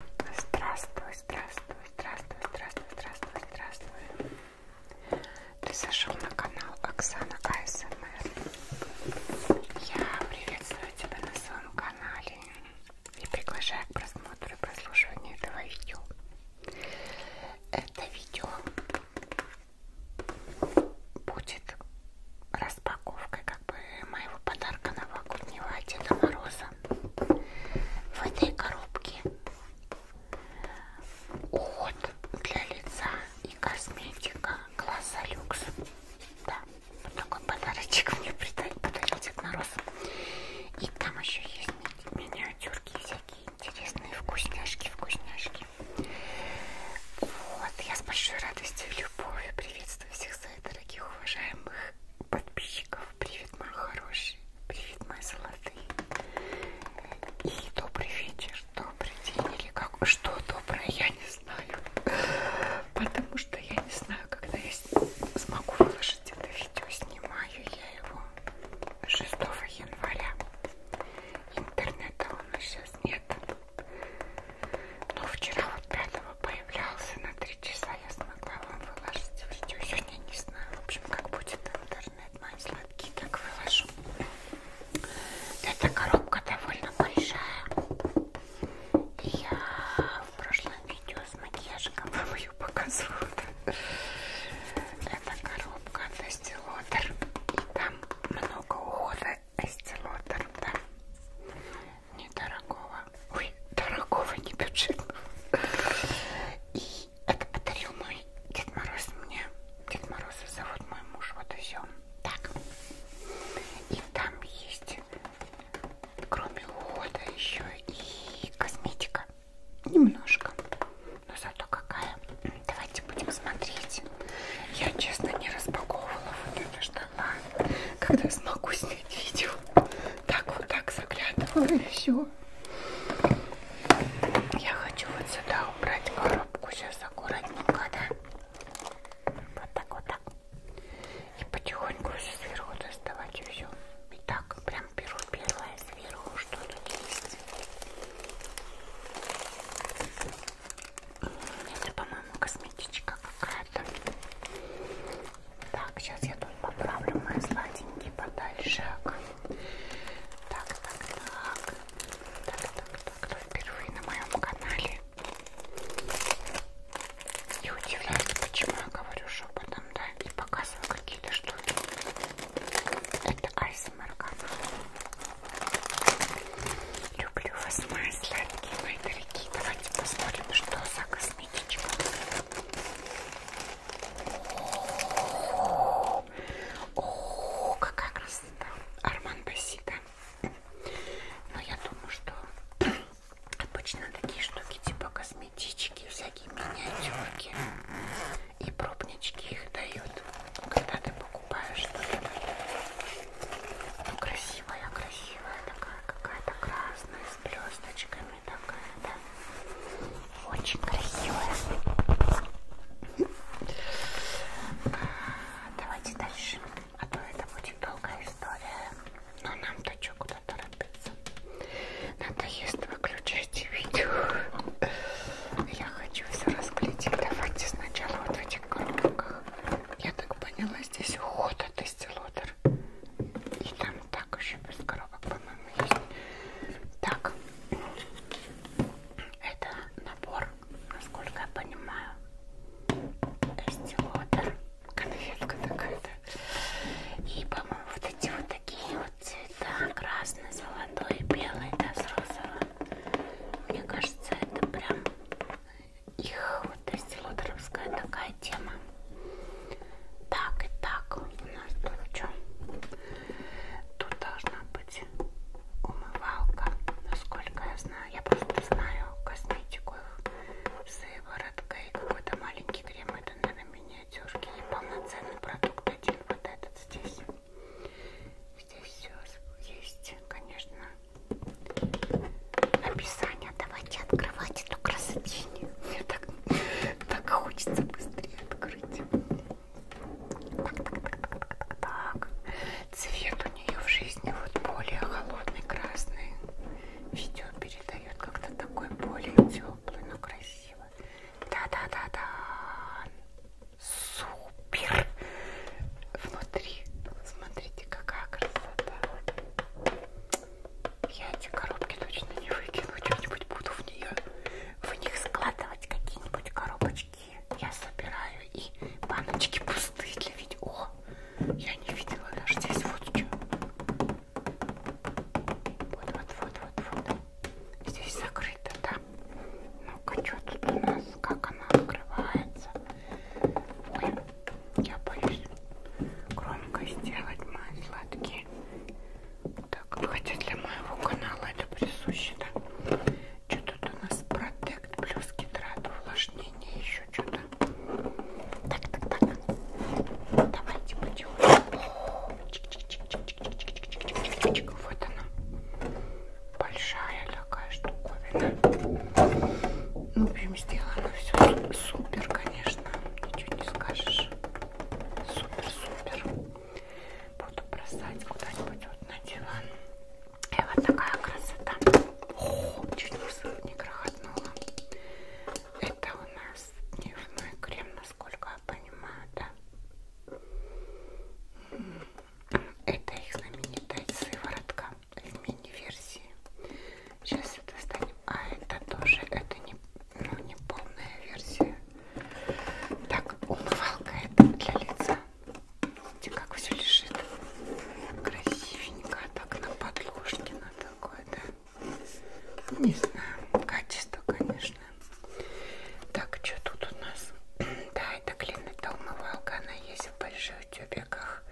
Здравствуй, здравствуй, здравствуй, здравствуй, здравствуй, здравствуй. Ты зашел на канал Оксана АСМР. Эм Я приветствую тебя на своем канале и приглашаю к просмотру и прослушиванию этого видео. Это видео будет распаковкой как бы моего подарка новогоднего Деда Мороза в этой коробке уход для лица и косметика класса люкс. Да, вот такой подарочек мне подарил Дед Мороз. И там еще есть ми миниатюрки всякие интересные вкусняшки, вкусняшки. Вот, я с большой радостью и любовью приветствую всех своих дорогих, уважаемых подписчиков. Привет, мои хорошие. Привет, мои золотые. И добрый вечер, добрый день или как... Что доброе, я не знаю. Потому что я не знаю, когда я смогу выложить это видео. Снимаю я его 6 января. Интернета у нас сейчас нет. Но вчера вот 5 по появлялся на 3 часа, я смогла вам выложить видео. Сегодня не знаю, в общем, как будет интернет. Мои сладкие так выложу. Эта коробка довольно большая. И я в прошлом видео с макияжиком вам ее показывала. Эта коробка от Estee И там много ухода Estee да недорогого, ой, дорогого, не бюджетного. И это подарил мой Дед Мороз мне. Дед Мороза зовут мой муж, вот и все. Так. И там есть, кроме ухода, еще и косметика. Немножко. Но зато какая. Давайте будем смотреть. Я, честно, не распаковывала вот это что. А, когда смогу снять видео так вот так заглядывала и все. Я хочу вот сюда убрать коробку сейчас аккуратненько, да? Вот так вот так. И потихоньку все сверху доставать и все. И так прям беру первое сверху, что тут есть. Это, по-моему, косметичка какая-то. Так, сейчас я тут поправлю мои сладенькие подальше. Так, так, так. Так, так, так. Кто впервые на моем канале? И удивляется, почему я говорю шепотом, да, и показываю какие-то штуки. Это Айсмер канал. Люблю вас, мои сладкие, мои дорогие. Давайте посмотрим, что за косметичка. О, о, какая красота. Арман Басита. Но я думаю, что обычно такие штуки типа косметички, всякие миниатюрки и пробнички их дают, когда ты покупаешь что-то. Ну красивая, красивая такая, какая-то красная с блесточками форме такая, да? Очень красивая. А, давайте дальше. А то это будет долгая история. Но нам-то что куда торопиться. Надоест выключайте видео. Я хочу все расклеить. Давайте сначала вот в этих коробках. Я так поняла, здесь уход от Истилотер. И там так, еще без коробок, по-моему, есть. Так, это набор, насколько я понимаю, эстилотер, конфетка такая-то. И, по-моему, вот эти вот такие вот цвета, красный, золотой, белый, да, с розовым. Мне кажется, это прям их вот эстилотеровская такая тема. Так, и так у нас тут что? Тут должна быть умывалка, насколько я знаю. Я просто знаю косметику с вывороткой, какой-то маленький крем, это, наверное, миниатюрки. И полноценный продукт один, вот этот здесь. Здесь все есть, конечно, описание этого давайте открывать эту красотень. Мне так, так хочется быстрее открыть. Так, так, так, так, так, так. Цвет у нее в жизни вот более холодный красный. Видео передает как-то такой более теплый, но красивый. Да-да-да-да. Супер! Внутри, смотрите, какая красота. Я эти коробки точно не выкину, что-нибудь буду в нее, в них складывать какие-нибудь коробочки. Я собираю и баночки пустые для видео. О, я не видела даже здесь вот что. Вот, вот, вот, вот, вот. Здесь закрыто, да. Ну-ка, что тут у нас? Как она открывается? Ой, я боюсь громко сделать мои сладкие так, хотя для моего канала это присуще, да? Что тут у нас? Протект плюс гидрат, увлажнение, еще что-то. Так, так, так. Давайте потихоньку. Вот она. Большая такая штуковина. Ну, в общем, сделано все супер, конечно. Ничего не скажешь. Супер-супер. Буду бросать куда-нибудь вот на диван. И вот такая красота. О, чуть не крохотнула. Это у нас дневной крем, насколько я понимаю, да? Это их знаменитая сыворотка в мини-версии. Сейчас это достанем. А это тоже, это не, но не полная версия. Так, умывалка это для лица. Видите, как все лежит красивенько, так на подложке, на такое, да? Не знаю, качество, конечно. Так, что тут у нас? да, это клин, это умывалка, она есть в больших тюбиках,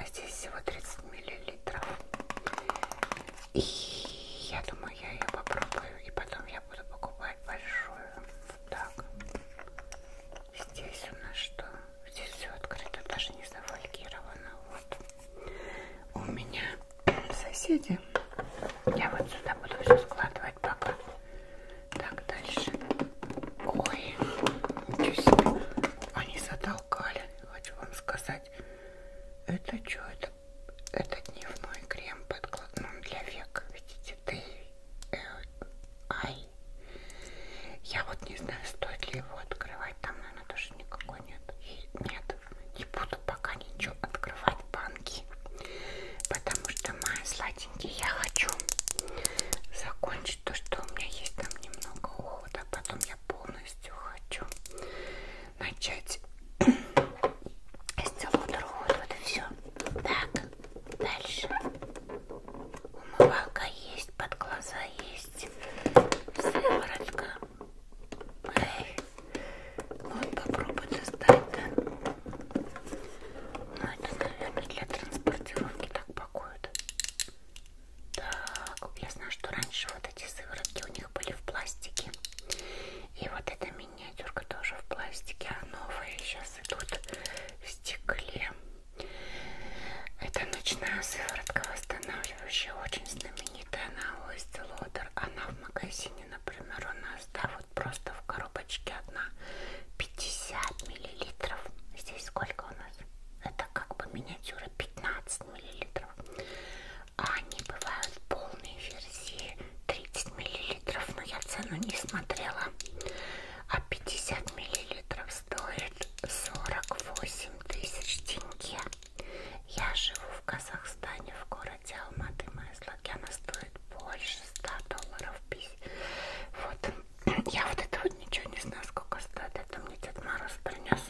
а здесь всего 30 миллилитров. И я думаю, я ее попробую, и потом я буду покупать большую. Вот так. Здесь у нас что? Здесь все открыто, даже не зафольгировано. Вот. У меня соседи. Я вот сюда буду все складывать пока. Так, дальше. Ой, ничего себе. Они затолкали, хочу вам сказать. Это что это? это, это дневной крем подкладном для век. Видите, ты э, ай. Я вот не знаю, стоит ли его открывать. Там, наверное, тоже никакой нет. И нет, не буду пока ничего открывать банки. Потому что, мои сладенькие, я хочу закончить то, что у меня есть там немного ухода. А потом я полностью хочу начать с того другого. Вот и все. Так, дальше. Умывалка есть, под глаза есть. Сыворотка. Эй. Вот попробуй достать, да? Ну, это, наверное, для транспортировки так пакуют. Так, я знаю, что раньше вот вот эти сыворотки у них были в пластике. И вот эта миниатюрка тоже в пластике, а новые сейчас идут в стекле. Это ночная сыворотка восстанавливающая, очень знаменитая на Oyster Loader. Она в магазине, например, у нас, да, вот просто в коробочке одна 50 миллилитров. Здесь сколько у нас? Это как бы миниатюра 15 миллилитров. Они бывают в полной версии 30 мл, но я цену не смотрела. А 50 мл стоит 48 тысяч тенге. Я живу в Казахстане, в городе Алматы, моя слогяна стоит больше 100 долларов. Вот. Я вот это вот ничего не знаю, сколько стоит. Это мне Дед Мороз принес.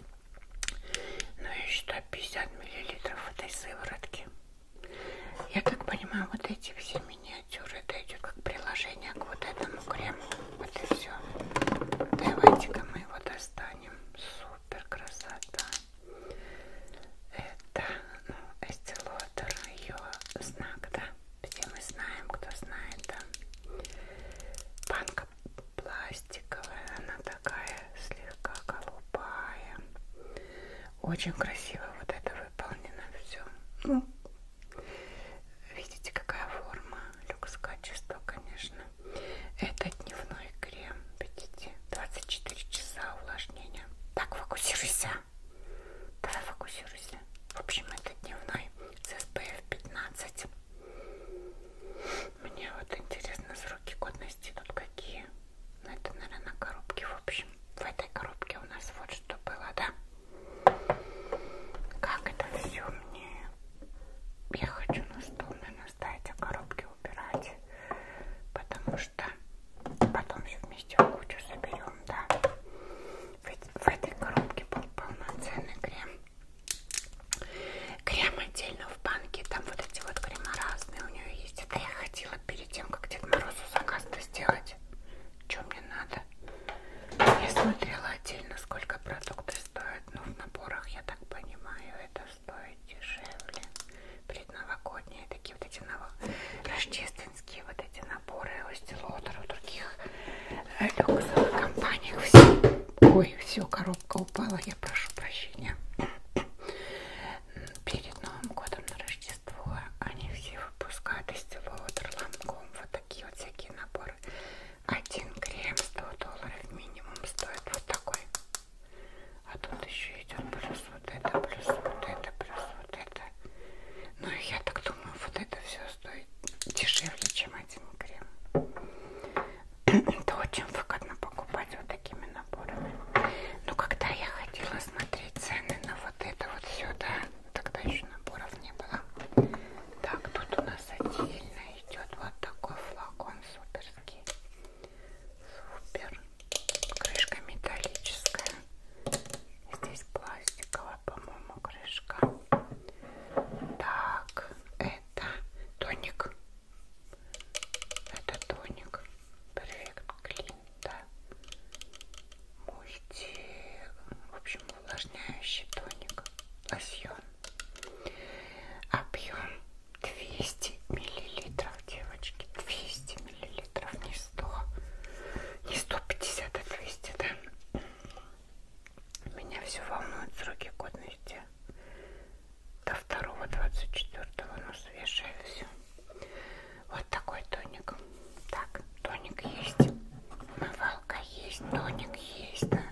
Ну и что 50 миллилитров этой сыворотки. Я как понимаю, вот эти все миниатюры, это идет как приложение к вот этому крему. Вот и все. Давайте-ка мы его достанем. Супер красота. Это, ну, эстилотер, ее знак, да? Все мы знаем, кто знает, да? Банка пластиковая, она такая слегка голубая. Очень красиво вот это выполнено все. Ну, видите, какая форма, люкс качество, конечно. Это дневной крем, видите, 24 часа увлажнения. Так, фокусируйся. Давай фокусируйся. В общем, это дневной с SPF 15. Мне вот интересно сроки годности тут какие. Ну это, наверное, на коробке, в общем. В этой коробке у нас вот что было, да? Как это все мне? Я хочу на стол, наверное, ставить, а коробки убирать. Потому что потом все вместе в кучу соберем, да? Ведь в этой коробке был полноценный крем. Крем отдельно в банке, там вот эти вот крема разные у нее есть. Это я хотела перед тем, как Дед Морозу заказ-то сделать. Что мне надо? Я смотрела отдельно, сколько продукты стоят, но в наборах, я так понимаю, это стоит дешевле. Предновогодние такие вот эти ново... рождественские вот эти наборы, Остилотер, у других э, люксовых компаниях. Все... Ой, все, коробка немножко упала, я прошу прощения. Перед Новым годом на Рождество они все выпускают из всего Waterland.com вот такие вот всякие наборы. Один крем 100 долларов минимум стоит вот такой. А тут еще идет плюс вот это, плюс вот это, плюс вот это. Ну и я так думаю, вот это все стоит дешевле, чем один крем. Это очень выгодно покупать вот такими наборами. Но когда я ходила смотреть цены на вот это вот сюда, тогда еще наборов не было. Так, тут у нас отдельно идет вот такой флакон суперский. Супер. Крышка металлическая. Здесь пластиковая, по-моему, крышка. Так, это тоник это тоник Perfect Clean, да. Мульти... В общем, увлажняющий тоник. Лосьон. Объем 200 миллилитров, девочки. 200 миллилитров, не 100. Не 150, а 200, да? Меня все волнует сроки годности до второго двадцать четвертого ну свежее все вот такой тоник так тоник есть умывалка есть тоник есть да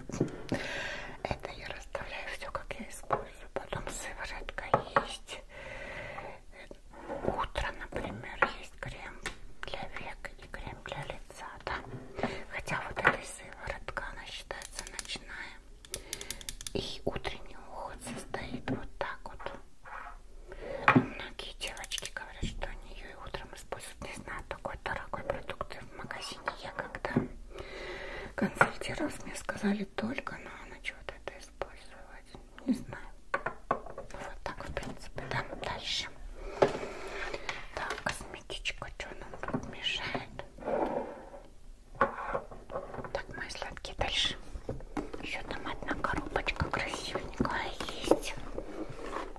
это я расставляю все как я использую потом сыворотка есть утро например есть крем для век и крем для лица да хотя вот эта сыворотка она считается ночная и утренний уход состоит вот так вот. Многие девочки говорят, что они ее и утром используют. Не знаю, такой дорогой продукт в магазине. Я когда консультировалась, мне сказали только на ночь вот это использовать. Не знаю. Вот так, в принципе, да. Дальше. Так, косметичка, что нам тут мешает? Так, мои сладкие, дальше. Еще там одна коробочка красивенькая есть.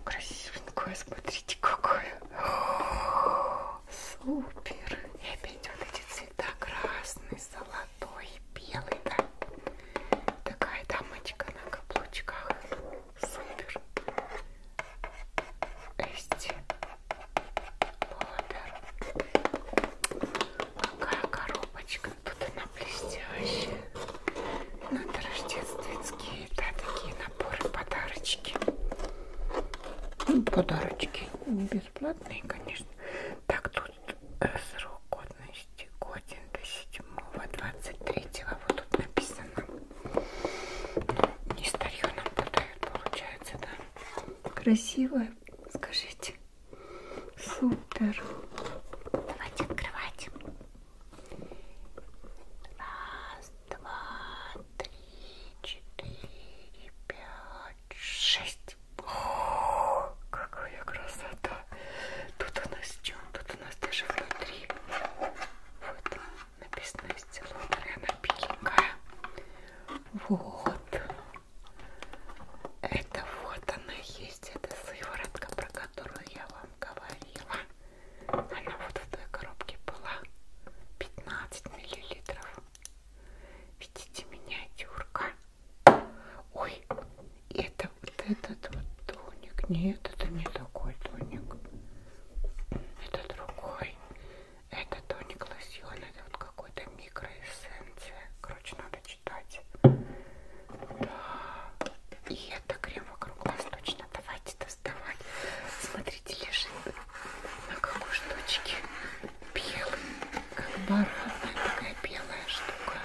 Красивенькая, смотрите, какая. О, супер. И опять вот эти цвета красный, золотой, белый, да. Такая дамочка на каблучках. Супер. Эсти. Какая коробочка. Тут она блестящая. Надо ну, рождественские, да, такие наборы, подарочки. Ну, подарочки не бесплатные, конечно. Так, тут э, срок годности годен до 7-23. Вот тут написано. Ну, не старье нам подают, получается, да. Красивая Скажите. Супер. Давайте открывать. Раз, два, три, четыре, пять, шесть. О, какая красота! Тут у нас чем? Тут у нас даже внутри. Вот написано стеллон, она беленькая. Вот. Это вот она есть, эта сыворотка, про которую я вам говорила. Она вот в той коробке была. 15 миллилитров. Видите, миниатюрка. Ой, это вот этот вот тоник. Нет, это не такой тоник. Это другой. Это тоник лосьон, это вот какой-то микроэссенция. Короче, надо читать. Да. И это крем вокруг глаз точно. Давайте доставать. Смотрите, лежит на какой штучке. Белый, как баранная такая белая штука.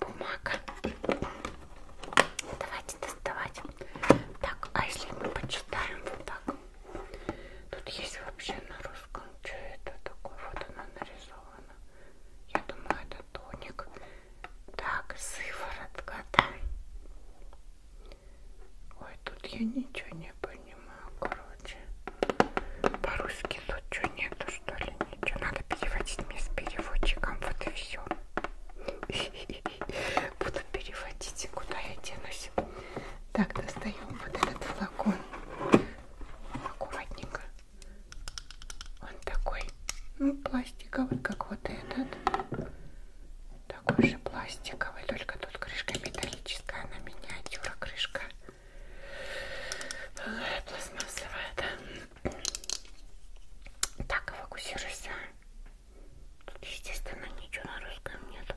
Бумага. Давайте доставать. Так, а если мы почитаем вот так? Тут есть вообще на русском, что это такое, вот она нарисована. Я думаю, это тоник. Так, сыворотка, да? Ой, тут я ничего не понимаю, короче. По-русски тут что нету, что ли, ничего. Надо переводить мне с переводчиком, вот и все. Буду переводить, куда я денусь. Так, достаем вот этот флакон аккуратненько. Он такой, ну, пластиковый, как вот этот. Такой же пластиковый, только тут крышка металлическая, она миниатюра крышка. Пластмассовая, да. Так, фокусируйся. Тут, естественно, ничего на русском нету.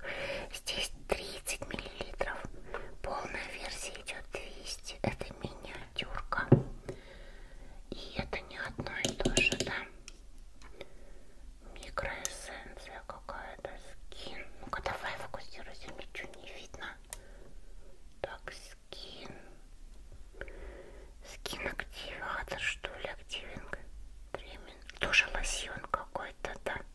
Здесь 30 мл миллилитров. Полная версия идет 200. Это миниатюрка. И это не одно и то же, да? Микроэссенция какая-то, скин. Ну-ка давай фокусируйся, ничего не видно. Так, скин. Скин активатор, что ли, активинг. Тоже лосьон какой-то, да.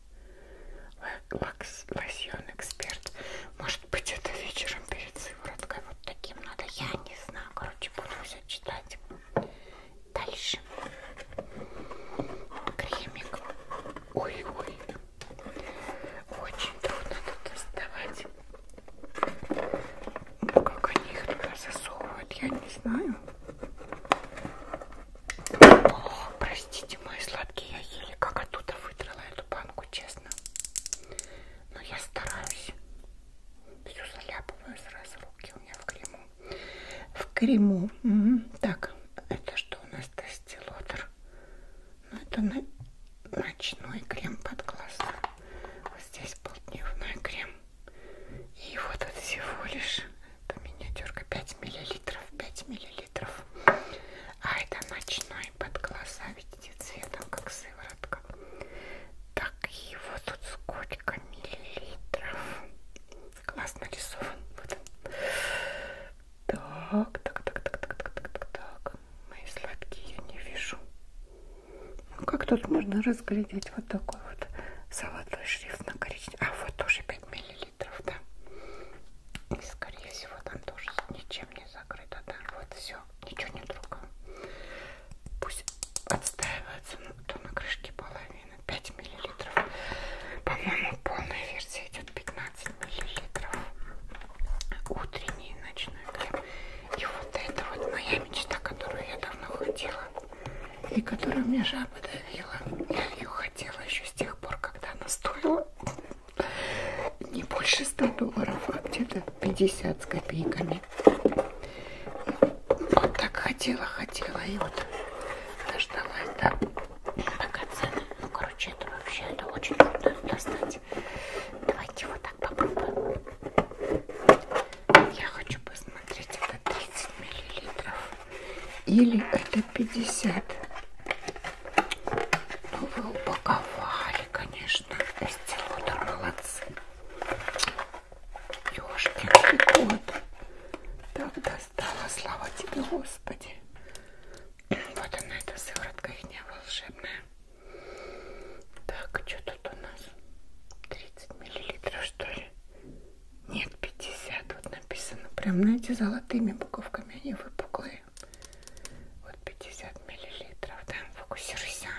Лакс, лосьон эксперт. Может быть это вечером перед сывороткой вот таким надо. Я не знаю. Короче, буду все читать. Дальше. Кремик. Ой-ой. Очень трудно тут доставать. Ну, как они их туда засовывают, я не знаю. О, простите, мои сладкие, я еле как оттуда выдрала эту банку, честно. Но я стараюсь. Все заляпываю сразу руки у меня в крему. В крему. Угу. Так, это что у нас? Тестилотер. Ну, это на... ночной крем под глаза. Вот здесь был дневной крем. И вот от всего лишь, это миниатюрка 5 миллилитров, 5 мл миллилитров. А это ночной под глаза, видите, цветом, как сыворотка. Так, его тут сколько миллилитров? Классно нарисован. Вот он. Так, так, так, так, так, так, так, так. Мои сладкие я не вижу. Ну, как тут можно разглядеть вот такой вот золотой шрифт на коричневом? А, вот тоже 5 5 миллилитров, да. И скорее всего там тоже ничем не закрыто, да. Вот все, ничего не трогаю. Пусть отстаивается, ну, то на крышке половина, 5 миллилитров. По-моему, полная версия идет 15 миллилитров. Утренний ночной крем. И вот это вот моя мечта, которую я давно хотела. И которую мне жаба давила. Я ее хотела еще с тех пор, когда она стоила не больше 100 долларов, а где-то 50 с копейками. Вот так хотела, хотела и вот дождалась, да. Пока цены, ну короче, это вообще это очень трудно достать. Давайте вот так попробуем. Я хочу посмотреть, это 30 миллилитров или это 50. Ну, вы упаковали, конечно. Эстилотер, молодцы. Ёшкин кот. Так достала, слава тебе, Господи. Вот она, эта сыворотка их не волшебная. Так, что тут у нас? 30 миллилитров, что ли? Нет, 50. Вот написано. Прям, знаете, золотыми буковками они выпуклые. Вот 50 миллилитров, да, фокусируйся.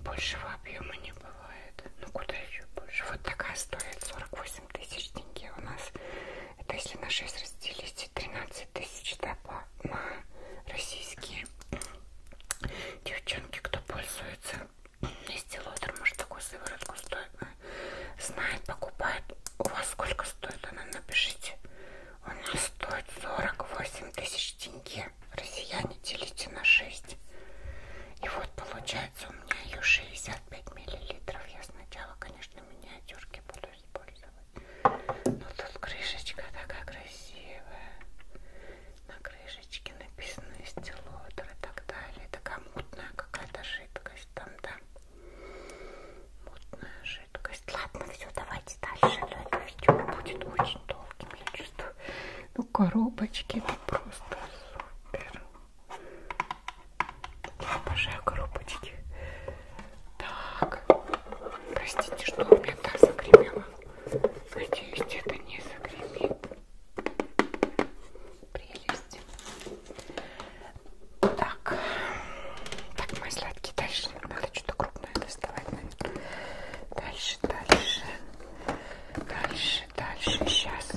Большего объема не бывает. Ну куда еще больше? Вот такая стоит 48 тысяч тенге у нас. Это если на 6 разделить, 13 тысяч да, на российские. Девчонки, кто пользуется, если лотер, может такую сыворотку стоит знает, покупает. У вас сколько стоит она? Напишите. У нас стоит 48 тысяч тенге. Россияне делите на 6. И вот получается у меня ее 65 миллилитров. Я сначала, конечно, миниатюрки буду использовать. Но тут крышечка такая красивая. На крышечке написано стилотер и так далее. Такая мутная какая-то жидкость там, да мутная жидкость. Ладно, все, давайте дальше. Но это видео будет очень долгим, я чувствую. Ну, коробочки это просто супер. Я обожаю коробочки. Так, простите, что у меня так загремело. Надеюсь, это не загремит. Прелесть. Так, так, мои сладкие, дальше надо что-то крупное доставать. Дальше, дальше, дальше, дальше, сейчас.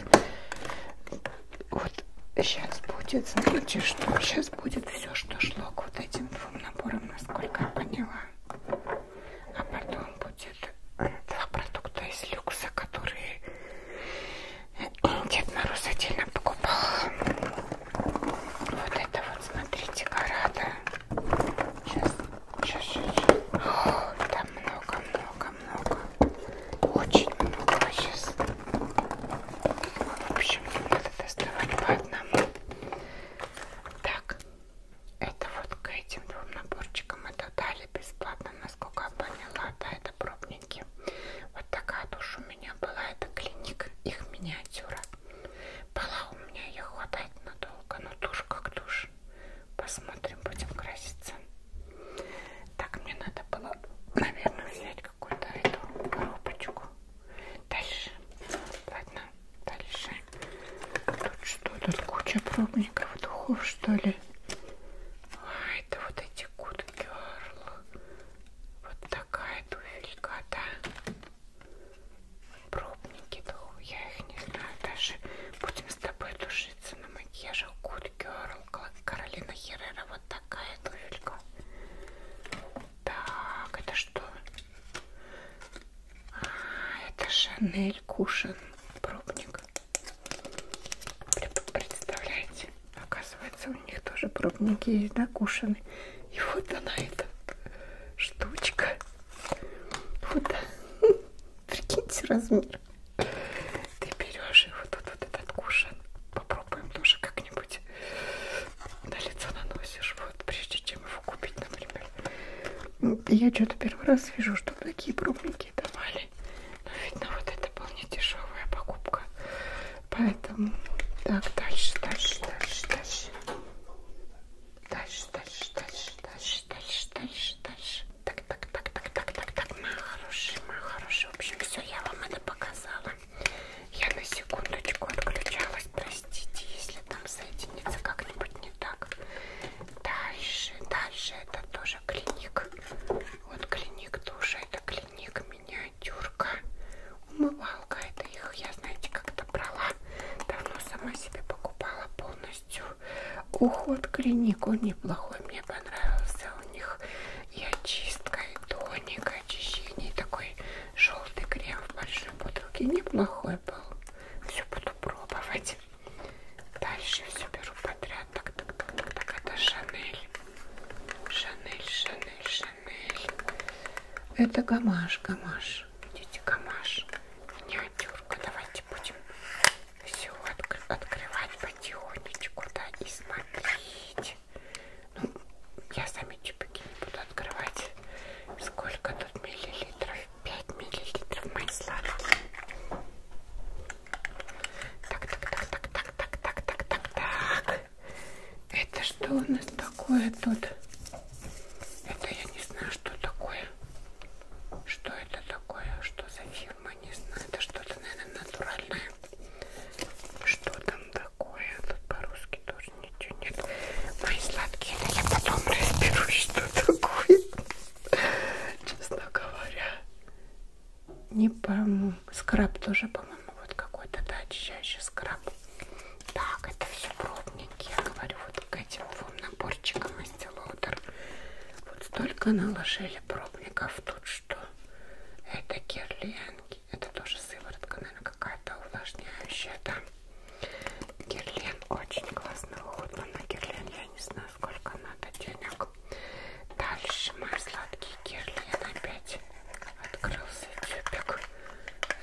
Вот сейчас будет, смотрите, что сейчас будет все, что шло к вот этим двум наборам, насколько я поняла. А потом будет два продукта из люкса, которые Дед Мороз отдельно покупал. Вот это вот, смотрите, города. Сейчас, сейчас, сейчас. О, там много, много, много. Очень много сейчас. В общем, не надо доставать по одному. Так, это вот к этим двум наборчикам это дали бесплатно, насколько я поняла. Да, это пробник клиники. Вот такая душа у меня была. Это клиник, их миниатюра. Была у меня, ее хватает надолго, но тушь как тушь. Посмотрим, будем краситься. Так, мне надо было, наверное, взять какую-то эту коробочку. Дальше. Ладно, дальше. Тут что? Тут куча пробников, духов, что ли? Ой, это вот эти Good Girl. Вот такая туфелька, да. Пробники, да, я их не знаю даже. Будем с тобой душиться на макияже Good Girl. Каролина Херера, вот такая туфелька. Так, это что? А, это Шанель Кушин пробник. Представляете? Оказывается, у них тоже пробники есть, да, кушаны. И вот она, эта штучка. Вот, прикиньте размер. Ты берешь и вот тут вот этот кушан. Попробуем тоже как-нибудь на лицо наносишь. Вот, прежде чем его купить, например. Я что-то первый раз вижу, что такие пробники давали. Но видно, ну, вот это была недешевая покупка. Поэтому так, дальше, дальше, дальше, дальше. Дальше, дальше, дальше, дальше, дальше, дальше, дальше. Так, так, так, так, так, так, так, моя хорошая, моя хорошая. В общем, все, я вам это показала. Я на секундочку отключалась, простите, если там соединится как-нибудь не так. Дальше, дальше, это тоже клиник. Вот клиник тоже, это клиник миниатюрка. Умывалка. Это их, я знаете, как-то брала. Давно сама себе покупала полностью. Уход клиник. Он неплохой. Мне понравился у них. И очистка, и тоник, и очищение. И такой желтый крем в большой бутылке. Неплохой был. Все буду пробовать. Дальше все беру подряд. Так, так, так, так, так. Это Шанель. Шанель, Шанель, Шанель. Это гамаш, гамаш. Видите, гамаш. Миниатюрка. Давайте будем все откр открывать потихонечку, да, и смотреть. Ну, я сами чипики не буду открывать. Сколько тут миллилитров? 5 миллилитров мои сладкие. Так, так, так, так, так, так, так, так, так, так. Это что у нас такое тут? Это я не знаю, что такое. Что это такое? Что за фирма? Не знаю. Это что-то, наверное, натуральное. Что там такое? Тут по-русски тоже ничего нет. Мои сладкие, но я потом разберусь, что такое. Честно говоря. Не пойму. Скраб тоже, по-моему, по-моему, вот какой-то, да, очищающий скраб. Так, это все пробники. Я говорю, вот к этим двум наборчикам из Лоудер. Вот столько наложили пробников тут, что это герлянки. Это тоже сыворотка, наверное, какая-то увлажняющая, да. Герлен очень классно уходит, но на герлен я не знаю, сколько надо денег. Дальше мои сладкие герли опять Открылся тюбик.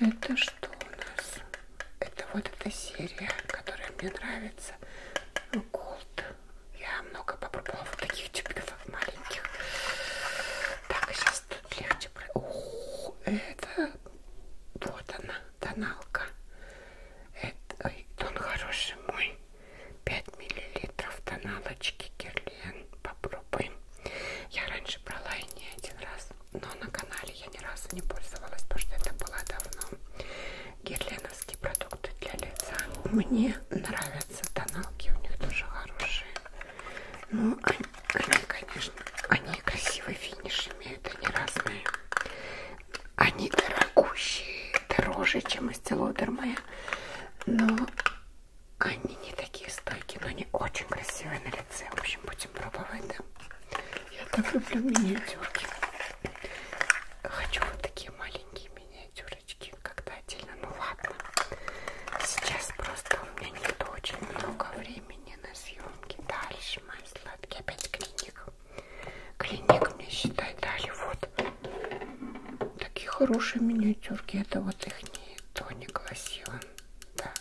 Это что у нас? Это вот эта серия, которая мне нравится. Голд. Я много попробовала вот таких тюбиков маленьких. Так, сейчас а тут легче. О, это вот она, тоналка. Это, ой, он хороший мой. 5 миллилитров тоналочки Герлин блин, попробуем. Я раньше брала и не один раз, но на канале я ни разу не пользовалась, потому что это было давно. Герленовские продукты для лица мне нравятся, тоналки у них тоже хорошие. Ну, они, они, конечно, они красивый финиш имеют, они разные. Они дорогущие, дороже, чем из моя, но они не такие стойкие, но они очень красивые на лице. В общем, будем пробовать, да? Я так люблю миниатюрки. Хочу вот такие маленькие миниатюрочки, когда отдельно. Ну ладно. Сейчас просто у меня нет очень много времени на съемки. Дальше, мои сладкие, опять клиник. Клиник мне, считай, дали вот такие хорошие миниатюрки. Это вот их не тоник лосьон да.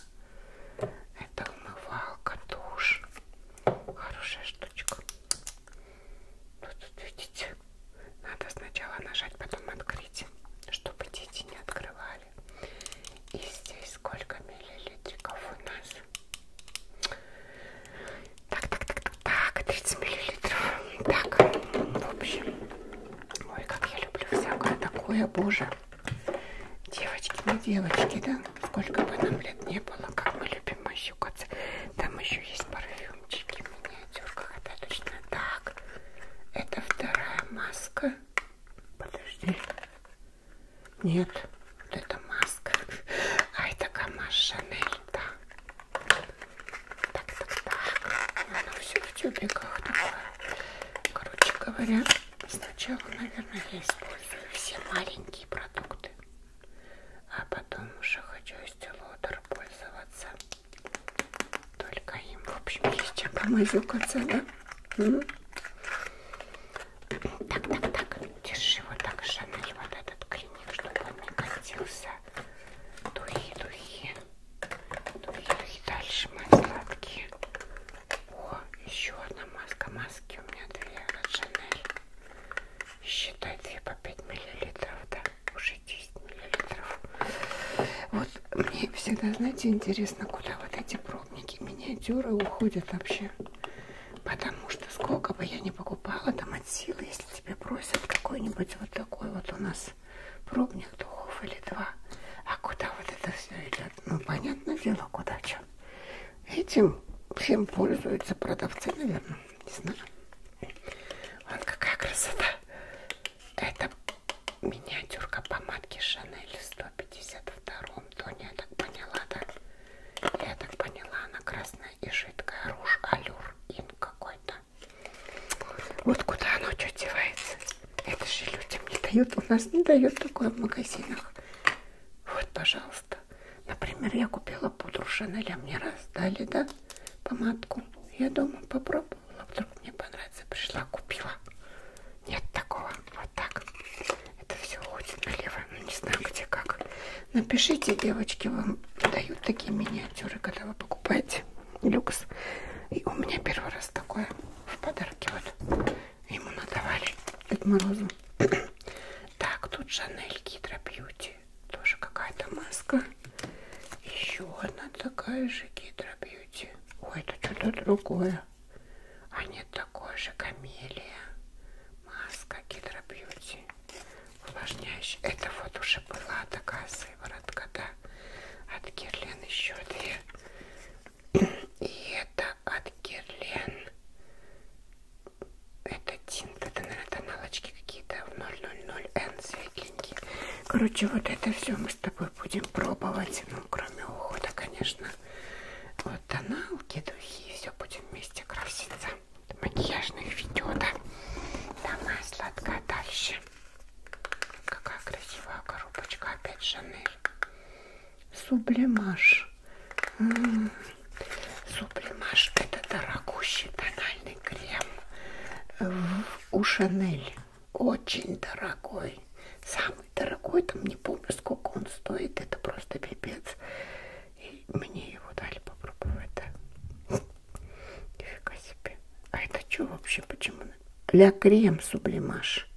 Это умывалка, душ. Хорошая штучка. Вот ну, тут видите, надо сначала нажать, потом открыть, чтобы дети не открывали. И здесь сколько миллилитриков у нас? Так, так, так, так, так, 30 миллилитров. Так, в общем, Ой, как я люблю всякое такое, боже. Девочки, ну девочки, да? Сколько бы нам лет не было, как мы любим мощукаться. Там еще есть парфюмчики в миниатюрках. Это точно так. Это вторая маска. Подожди. Нет, вот это маска. А это Камаш Шанель, да. Так, так, так. Оно все в тюбиках такое. Короче говоря, сначала, наверное, я использую все маленькие продукты, а потом уже хочу стилотер пользоваться. Только им, в общем, есть чем помазюк да? Так, так, так, держи вот так, Жанель, вот этот клиник, чтобы он не катился. Духи, духи. Ну и дальше мои сладкие. О, еще одна маска. Маски у меня две от Шанель. Считай, 2 по 5 миллилитров, да, уже 10 миллилитров. Вот мне всегда, знаете, интересно, куда вот эти пробники, миниатюры уходят вообще. Потому что сколько бы я ни покупала, там от силы, если тебе просят какой-нибудь вот такой вот у нас пробных духов или два. А куда вот это все идет? Ну, понятное дело, куда что. Этим всем пользуются продавцы, наверное. Не знаю. Вот какая красота. Это миниатюрка помадки Шанель в 152-м тоне, я так поняла, да? Я так поняла, она красная и жидкая, руж алюр ин какой-то. Вот куда оно что девается? Это же людям не дают, у нас не дают такое в магазинах. Вот, пожалуйста. Например, я купила пудру Шанеля, а мне раз дали, да, помадку. Я дома попробовала, вдруг мне понравится, пришла, купила. Нет такого, вот так. Это все уходит налево, ну не знаю где как. Напишите, девочки, вам дают такие миниатюры, когда вы покупаете люкс. И у меня первый раз такое в подарке вот ему надавали Дед Морозу. так, тут Шанель Гидро Бьюти. Тоже какая-то маска. Еще одна такая же Гидро Бьюти. Ой, это что-то другое. А нет, такое же камелия. Маска Гидро Бьюти. Увлажняющая. Это вот уже была такая сыворотка, да от Герлен еще две. И это от Герлен. Это тинт, это, наверное, тоналочки какие-то в 000N светленькие. Короче, вот это все мы с тобой будем пробовать. Ну, кроме ухода, конечно. Вот тоналки, духи, все будем вместе краситься. Макияжных видео, да. Давай, сладкая, дальше. Какая красивая коробочка. Опять Шанель. Сублимаж. М -м -м. Сублимаж. Это дорогущий тональный крем. В, у Шанель. Очень дорогой. Самый дорогой. Там не помню, сколько он стоит. Это просто пипец. И мне его дали попробовать. Да? Нифига себе. А это что вообще? Почему ля крем сублимаж.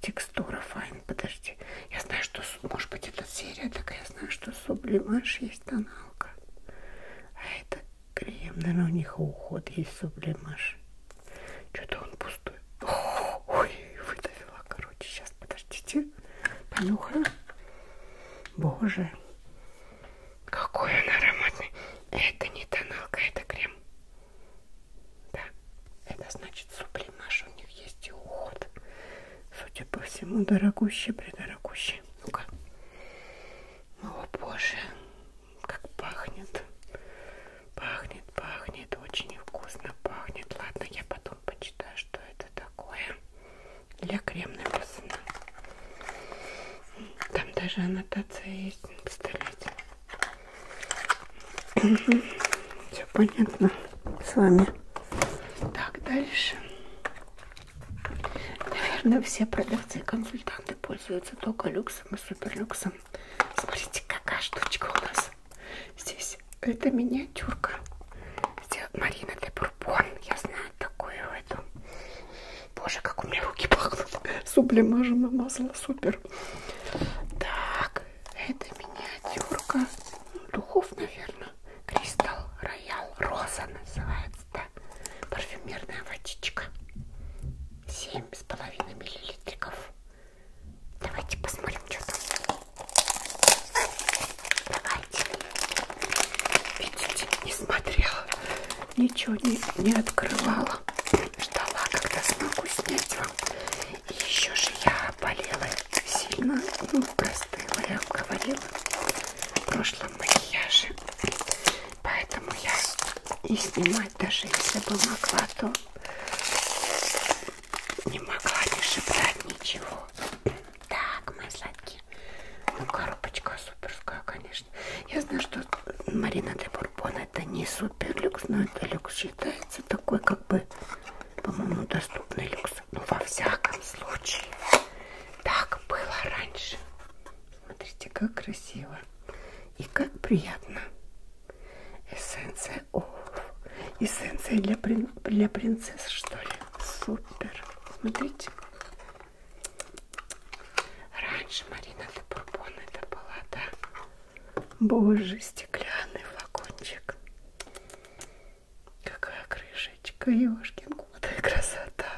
Текстура файн, подожди. Я знаю, что, может быть, это серия такая, я знаю, что сублимаж есть тоналка. А это крем, наверное, у них уход есть сублимаж. Что-то он пустой. Ой, выдавила, короче, сейчас, подождите. Понюхаю. Боже, какой он ароматный. Это не тоналка, это крем. Да, это значит сублимаж у них есть и уход. Судя по всему, дорогущий, придорогущий. Ну-ка. О боже, как пахнет. Пахнет, пахнет, очень вкусно пахнет. Ладно, я потом почитаю, что это такое. Для крем написано. Там даже аннотация есть на пистолете. Угу. Все понятно с вами. Так, дальше. Наверное, все продавцы и консультанты пользуются только люксом и суперлюксом. Смотрите, какая штучка у нас здесь. Это миниатюрка. Здесь Марина де Бурбон. Я знаю такую эту. Боже, как у меня руки пахнут. Сублимажем масло супер. Так, это миниатюрка. Духов, наверное. Кристалл Роял Роза называется, да. Парфюмерная водичка. 7,5 миллилитриков. Давайте посмотрим, что там. Давайте. Видите, не смотрела ничего не, не открывала. Ждала, когда смогу снять вам. И еще же я болела сильно, ну, простыла, я вам говорила в прошлом макияже. Поэтому я и снимать даже если бы могла, то не могла не шептать ничего. Так, мои сладкие. Ну, коробочка суперская, конечно. Я знаю, что Марина де Бурбон это не супер вот перлюкс, но это люкс считается такой, как бы, по-моему, доступный люкс. Ну, во всяком случае, так было раньше. Смотрите, как красиво и как приятно. Эссенция, о, эссенция для, прин, для принцесс, что ли? Супер. Смотрите. Раньше Марина де Бурбон это была, да? Боже, стеклянный флакончик. Какая крышечка, ёшкин куда красота.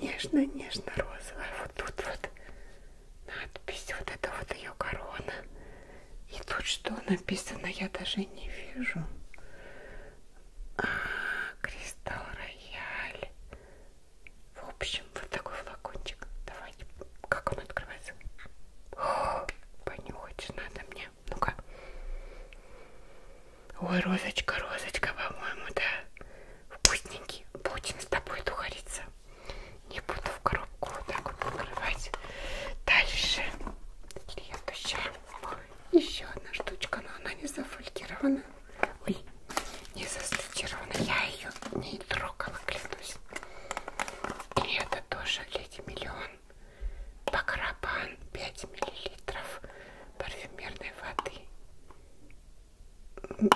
Нежно-нежно-розовая. Вот тут вот надпись, вот это вот ее корона. И тут что написано, я даже не вижу. А, Кристалл Рояль. В общем, вот такой флакончик. Давай, как он открывается? О, понюхать надо мне. Ну-ка. Ой, розочка, розочка, по-моему, да. Вкусненький. Будем с тобой духариться. Не буду в коробку вот так вот открывать. Дальше. Следующая. Еще одна штучка, но она не зафолькирована. Ой, не застатирована. Я ее не трогала, клянусь. И это тоже леди миллион. Бакрабан 5 миллилитров парфюмерной воды.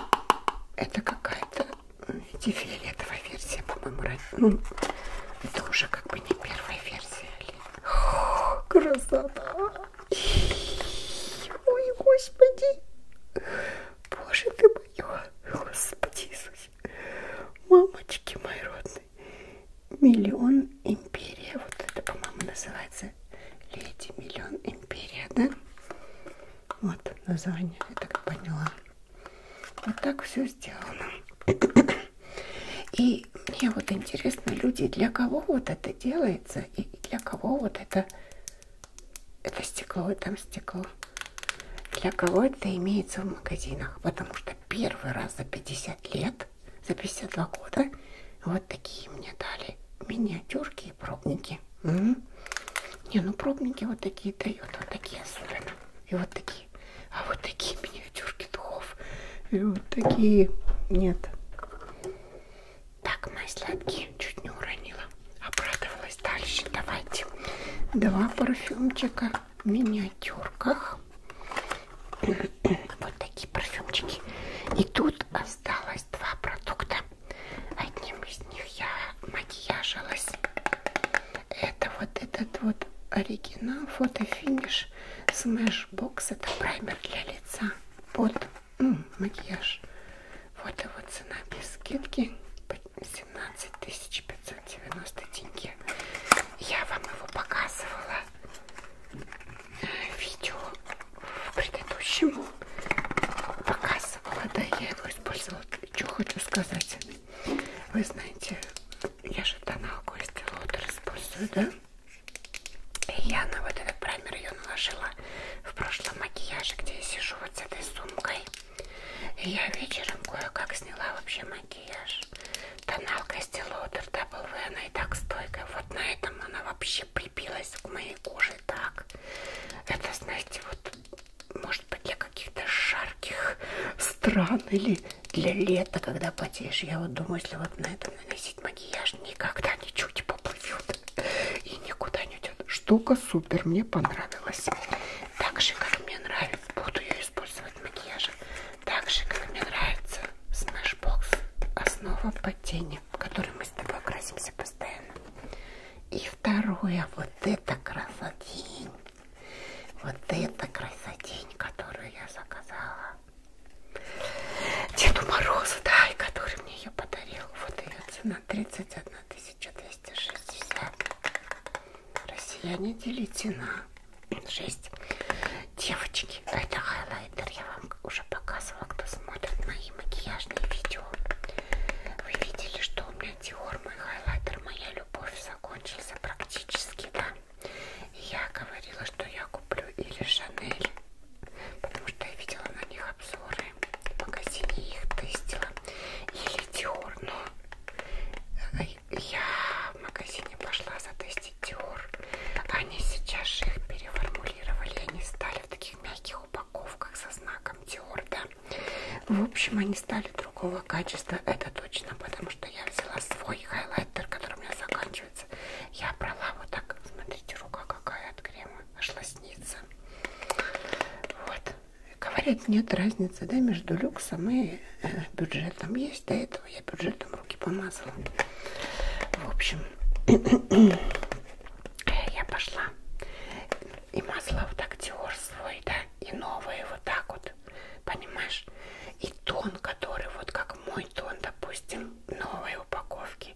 Это какая-то фиолетовая версия, по-моему, ну, это уже как бы не первая версия. А О, красота! Ой, господи! Боже ты мой, Господи Иисусе, мамочки мои родные, миллион империя, вот это, по-моему, называется, леди, миллион империя, да? Вот название, я так поняла. Вот так все сделано. И мне вот интересно, люди, для кого вот это делается и для кого вот это это стекло, и там стекло. Для кого это имеется в магазинах? Потому что первый раз за 50 лет, за 52 года, вот такие мне дали миниатюрки и пробники. Угу. Не, ну пробники вот такие дают, вот такие особенно. И вот такие. А вот такие миниатюрки духов. И вот такие. Нет. Так, мои сладкие. Ой, чуть не уронила. Обрадовалась дальше. Давайте. Два парфюмчика в миниатюрках. Вот такие парфюмчики. И тут осталось два продукта. Одним из них я макияжилась. Это вот этот вот оригинал фотофиниш Smash Box. Это праймер для лица под м -м, макияж. Вот его а цена без скидки 17 590 тенге. Я вам его показывала э, видео в предыдущем. Показывала, да, я его использовала. Что хочу сказать. Вы знаете, я же тоналку из Делотер использую, да? И я на вот этот праймер ее наложила в прошлом макияже, где я сижу вот с этой сумкой. Я вечером кое-как сняла вообще макияж. Тоналка Стилотер Double V, она и так стойкая. Вот на этом она вообще прибилась к моей коже так. Это, знаете, вот может быть для каких-то жарких стран или для лета, когда потеешь. Я вот думаю, если вот на этом наносить макияж, никогда ничуть не поплывет и никуда не идет. Штука супер, мне понравилось. Так же, как мне нравится, буду ее использовать в макияже. Так же, как мне нравится Smashbox, основа под тени, которой мы с тобой красимся постоянно. И второе, вот это красотень. Вот это красотень, которую я заказала. Деду Морозу, да, и который мне ее подарил. Вот ее цена 31 тысяча 360. Россияне делите на 6. Девочки, это хайлайтер. Я вам уже показывала, кто смотрит мои макияжные видео. Вы видели, что у меня Диор, мой хайлайтер, моя любовь закончился практически, да? И я говорила, что я куплю или Шанель, потому что я видела на них обзоры в магазине их тестила. Или Dior, но я в магазине пошла затестить Dior. Они сейчас же их переформулировали. Они стали в таких мягких упаковках со знаком Dior, да. В общем, они стали другого качества, это точно, потому что я взяла свой хайлайтер, который у меня заканчивается. Я брала вот так, смотрите, рука какая от крема, аж лоснится. Вот. Говорят, нет разницы да, между люксом и э, бюджетом. Есть до этого я бюджетом руки помазала. В общем, я пошла и мазала вот актер свой, да, и новые вот так вот, понимаешь? И тон, который вот как мой тон, допустим, новой упаковки,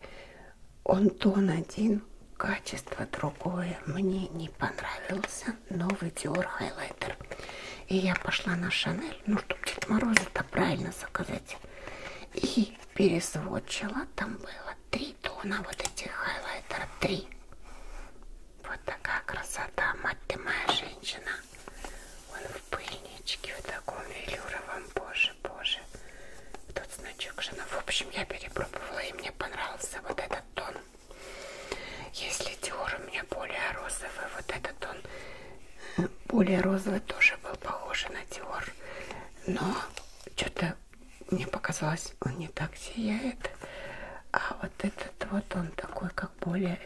он тон один, качество другое. Мне не понравился новый Dior Highlighter. И я пошла на Шанель, ну, чтобы Дед Мороза-то правильно заказать. И пересводчила. Там было три тона вот этих хайлайтера. Три. Вот такая красота, мать ты моя женщина. Он в пыльничке, в таком велюровом, боже, боже. Тут значок жена. В общем, я перепробовала, и мне понравился вот этот тон. Если Диор у меня более розовый, вот этот он более розовый тоже был похож на Диор. Но что-то мне показалось, он не так сияет. А вот этот вот он такой, как более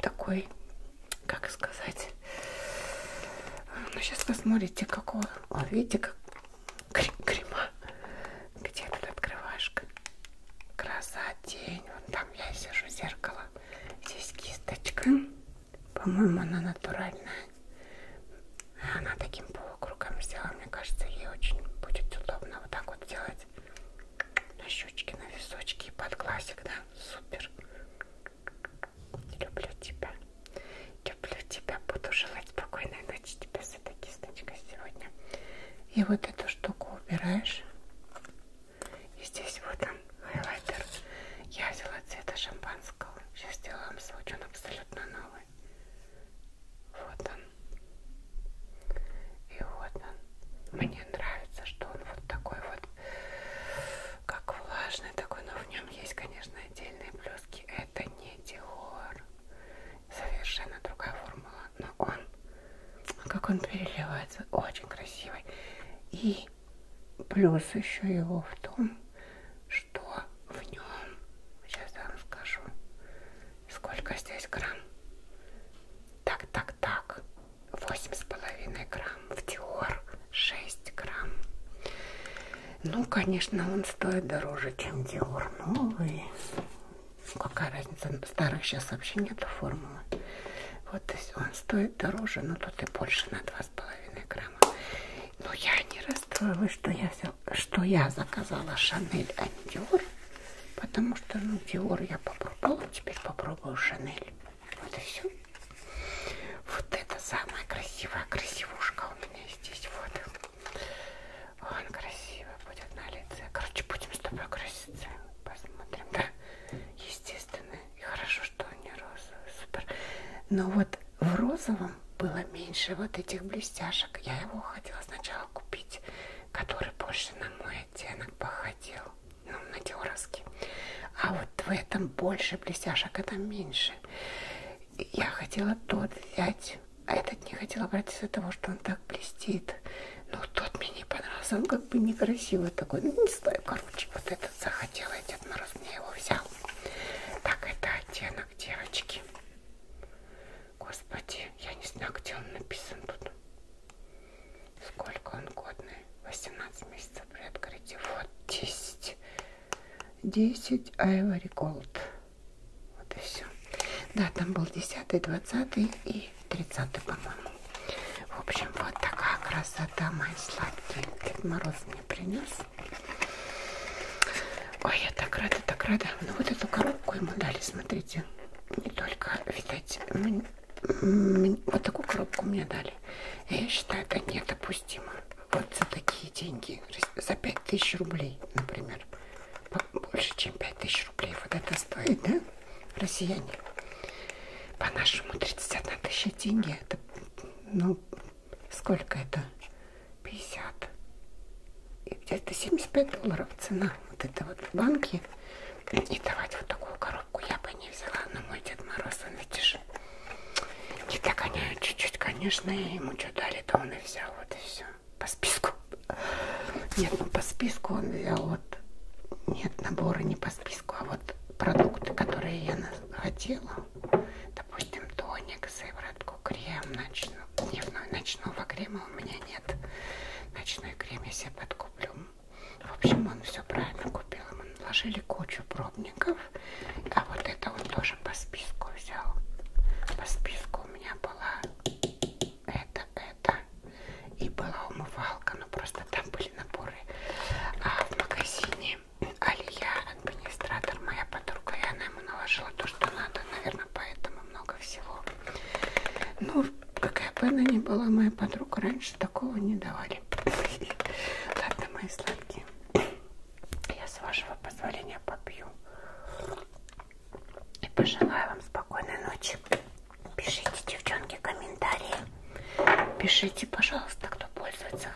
такой, как сказать. Ну, сейчас вы смотрите, какого. Вот видите, как крем крема. Где тут открывашка? Краса, тень. Вот там я сижу, зеркало. Здесь кисточка. По-моему, она натуральная. Она таким полукругом сделала. Мне кажется, ей очень будет удобно вот так вот делать. На щечки, на височки и под глазик, да? Супер. Люблю тебя. Люблю тебя. Буду желать спокойной ночи короче, тебе с этой кисточкой сегодня. И вот эту штуку убираешь. И здесь вот он, хайлайтер. Я взяла цвета шампанского. Сейчас сделаю вам случай, он абсолютно новый. Вот он. И вот он. Мне нравится, что он вот такой вот, как влажный такой, но в нем есть, конечно, отдельные плюски. Это не Диор совершенно другая формула, но он, как он переливается, очень красивый. И плюс еще его в том, что в нем, сейчас я вам скажу, сколько здесь грамм. Так, так, так, 8,5 грамм, в Диор 6 грамм. Ну, конечно, он стоит дороже, чем Диор новый. Ну, какая разница, старых сейчас вообще нету формулы. Вот, то есть он стоит дороже, но тут и больше на 2,5 грамма. Но я не расстроилась, что я, взял, что я заказала Шанель, а не Диор. Потому что, ну, Диор я попробовала, теперь попробую Шанель. Вот и все. Вот это самая красивая красивушка у меня здесь. Вот. Он красивый будет на лице. Короче, будем с тобой краситься. Посмотрим, да? Естественно. И хорошо, что они розовые. Супер. Но вот в розовом было меньше вот этих блестяшек. Я его хотела сначала купить, который больше на мой оттенок походил. Ну, на теоровский. А вот в этом больше блестяшек, а там меньше. Я хотела тот взять, а этот не хотел обратиться из-за того, что он так блестит. Но ну, тот мне не понравился, он как бы некрасивый такой. Ну, не знаю, короче, вот этот захотел, и Дед Мороз мне его взял. Так, это оттенок девочки. Господи, я не знаю, где он написан тут. Сколько он годный? 18 месяцев при открытии. Вот 10. 10 Ivory Gold. Вот и все. Да, там был 10, 20 и 30, по-моему. В общем, вот такая красота, мои сладкие. Дед Мороз мне принес. Ой, я так рада, так рада. Ну вот эту коробку ему дали, смотрите. Не только, видать, вот такую коробку мне дали. Я считаю, это недопустимо. Вот за такие деньги, за 5000 рублей, например больше, чем 5000 рублей. Вот это стоит, да, россияне? По-нашему 31 тысяча тенге. Это, ну, сколько это? 50. Это 75 долларов цена. Вот это вот в банке. И давать вот такую коробку я бы не взяла. Но мой Дед Мороз, он видишь, не догоняет чуть-чуть, конечно. И ему что дали, то он и взял. Вот и все по списку. Нет, ну по списку он взял вот. Нет, наборы не по списку, а вот продукты, которые я хотела. Допустим, тоник, сыворотку, крем, ночную, дневную, ночного крема у меня нет. Ночной крем я себе подкуплю. В общем, он все правильно купил. Мы наложили кучу пробников. А вот это он тоже по списку взял. По списку у меня была это, это. И была умывалка, но просто там были наборы. А в магазине Алия, администратор, моя подруга, и она ему наложила то, что надо. Наверное, поэтому много всего. Ну, какая бы она ни была, моя подруга, раньше такого не давали. Ладно, мои сладкие. Я с вашего позволения попью. И пожелаю вам спокойной ночи. Пишите, девчонки, комментарии. Пишите, пожалуйста, кто пользуется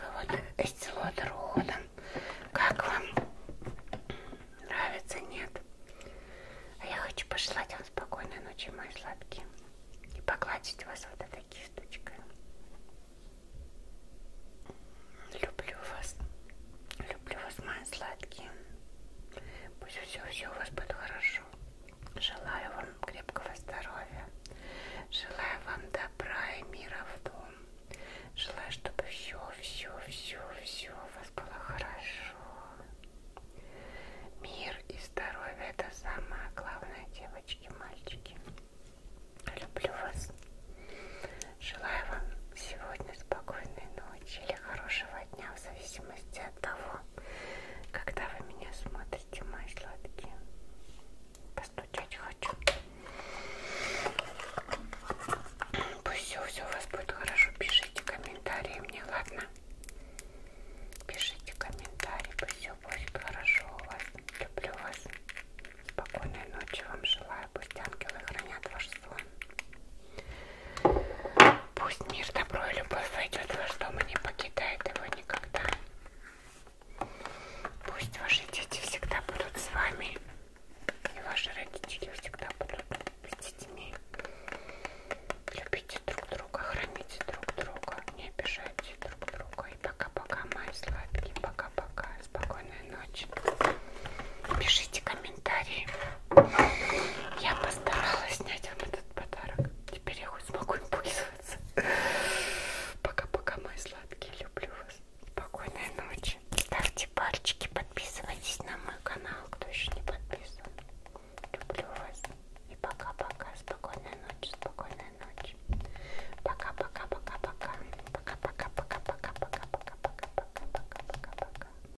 эстилотер уходом. Как вам? Нравится, нет? А я хочу пожелать вам спокойной ночи, мои сладкие. И погладить вас вот такие штучкой. Люблю вас. Люблю вас, мои сладкие. Пусть все-все у вас будет хорошо. Желаю вам крепкого здоровья. Желаю вам добра и мира в дом. Желаю, чтобы все-все-все-все у вас было хорошо. Мир и здоровье это самое главное, девочки, мальчики. Люблю вас. Желаю вам сегодня спокойной ночи ночи или хорошего дня, в зависимости от того, когда вы меня смотрите, мои сладкие. Постучать хочу. Пусть все, все у вас будет хорошо. Пишите комментарии мне, ладно? Пишите комментарии, пусть все будет хорошо у вас. Люблю вас. Спокойной ночи вам желаю. Пусть ангелы хранят ваш сон. Пусть мир, добро и любовь войдет в ваш дом и не покидает его никогда. Пусть ваши дети всегда будут с вами. И ваши родители всегда будут с детьми. Любите друг друга, храните друг друга, не обижайте друг друга. И пока-пока, мои сладкие, пока-пока, спокойной ночи. Пишите комментарии комментарии. Я постаралась снять вам этот подарок. Теперь я хоть смогу им пользоваться. Пока-пока, мои сладкие. Люблю вас. Спокойной ночи. Ставьте пальчики, подписывайтесь на мой канал, кто еще не подписан. Люблю вас. И пока-пока. Спокойной ночи. Спокойной ночи. Пока-пока-пока-пока. Пока-пока-пока-пока-пока-пока-пока-пока-пока-пока.